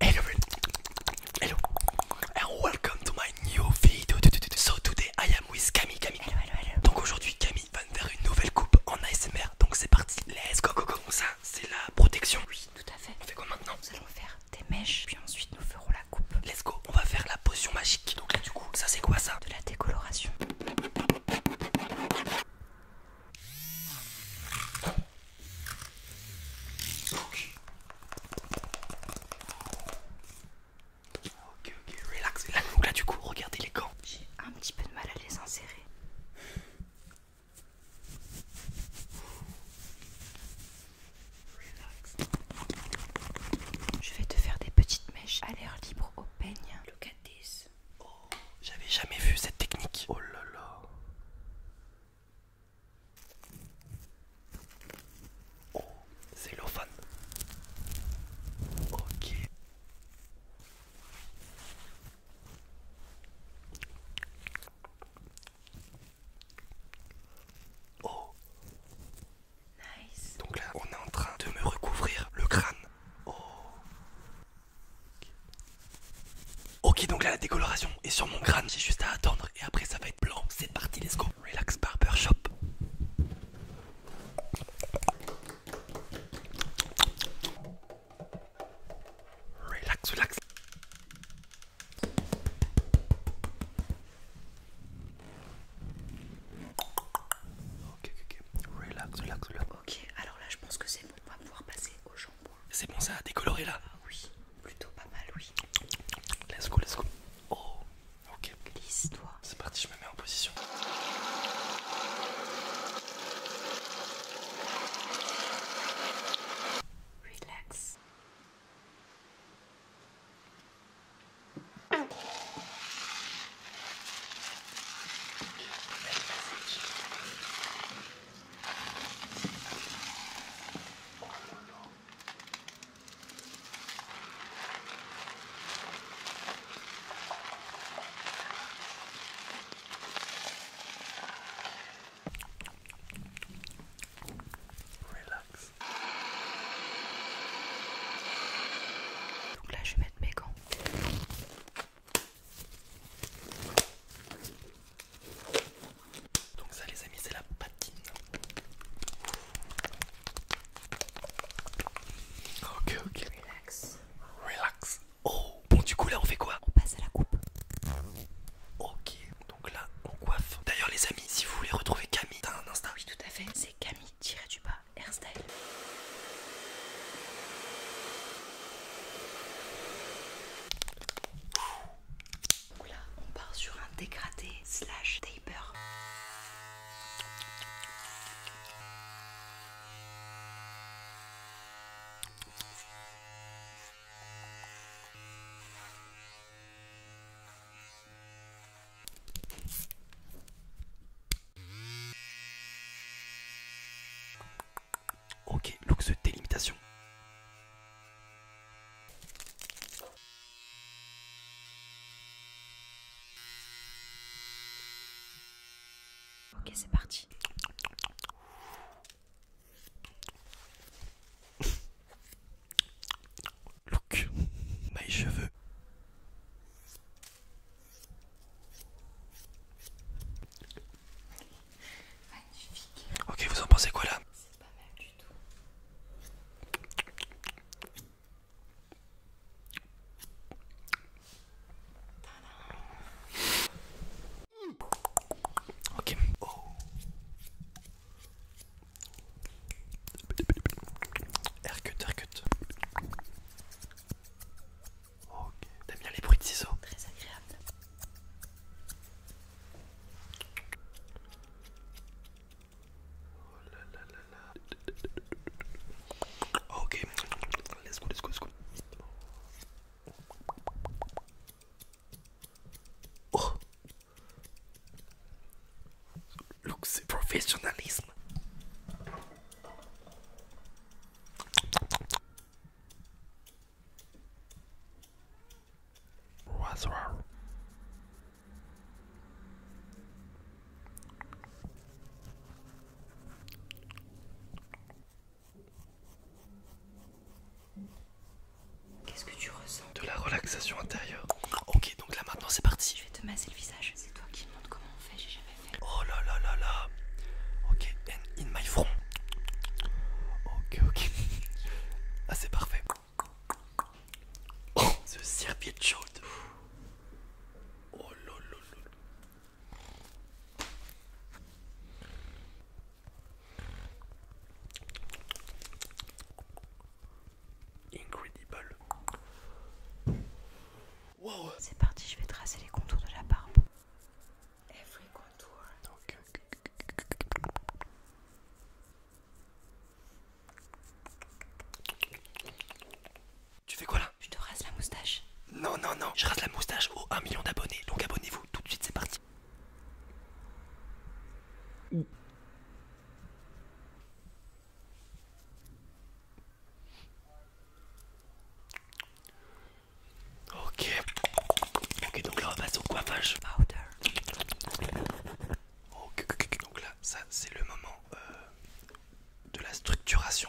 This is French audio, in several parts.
Hello, hello, and welcome to my new video. So today I am with Camille. Camille. Hello, hello, Donc aujourd'hui Camille va nous faire une nouvelle coupe en ASMR. Donc c'est parti. Let's go, go, Ça, c'est la protection. Oui, tout à fait. On fait quoi maintenant Nous allons faire des mèches, puis ensuite nous ferons la coupe. Let's go. On va faire la potion magique. Donc là, du coup, ça c'est quoi ça De la décoloration. Ok. Ok, relax, Donc là, du coup, regardez les gants. J'ai un petit peu de mal à les insérer. Relax. Je vais te faire des petites mèches à l'air libre au peigne. Look at this. Oh, j'avais jamais vu cette technique. Oh là là. Oh, c'est l'ophane. Ok. Oh. Nice. Donc là, on est en train de me recouvrir le crâne. Oh. Ok, donc là la décoloration est sur mon crâne, j'ai juste à attendre et après ça va être blanc. C'est parti, let's go. Relax Barbershop. Relax, relax. Ok, ok, Relax, relax, relax. Ok, alors là je pense que c'est bon on va pouvoir passer au jambon. C'est bon, ça a décoloré là ah Oui, plutôt pas mal, oui. Let's go, let's go. Oh, ok. Glisse-toi. C'est parti, je me mets en position. Relax. Relax. là, je vais mettre mes gants. Donc ça les amis c'est la patine. Ok ok. Relax. Relax. Oh bon du coup là on fait quoi On passe à la coupe. Ok donc là on coiffe. D'ailleurs les amis si vous voulez retrouver Camille, t'as un instant Oui tout à fait, c'est Camille tiré du bas on part sur un dégradé slash taper. Ok, look de délimitation. Ok, c'est parti. Look, mes cheveux. Magnifique. Ok, vous en pensez quoi là C'est pas mal du tout. Ok. Oh. Aircut, aircut. Ok, t'aimes bien les bruits de ciseaux Très agréable. Oh là là là là. Ok, let's go, let's go, let's go. Oh, Look, the professionalism. What's wrong? Qu'est-ce que tu ressens De la relaxation intérieure. Ok, donc là maintenant c'est parti. Je vais te masser le visage. C'est toi qui me montre comment on fait, j'ai jamais fait. Oh là là là là. Ok, and in my front. Ok, ok. Ah, c'est parfait. Oh, ce serviette chaud. Oh là là là Incredible. C'est parti, je vais tracer les contours de la barbe. Every contour. Tu fais quoi là Je te rase la moustache. Non, non, non, je rase la moustache aux 1 million d'abonnés. Donc abonnez-vous, tout de suite, c'est parti. Ok. Ok, donc là on passe au coiffage. Ok, donc là, ça c'est le moment euh, de la structuration.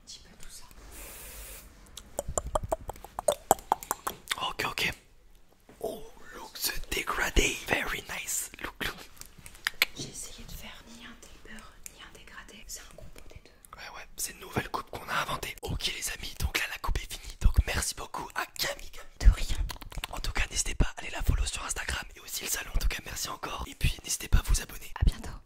un petit peu tout ça. Ok, ok. Oh, look the dégradé. Very nice. Look, look. J'ai essayé de faire ni un taper ni un dégradé. C'est un combo des deux. Ouais, ouais. C'est une nouvelle coupe qu'on a inventée. Ok, les amis. Donc là, la coupe est finie. Donc merci beaucoup à Camille. De rien. En tout cas, n'hésitez pas à aller la follow sur Instagram et aussi le salon. En tout cas, merci encore. Et puis, n'hésitez pas à vous abonner. À bientôt.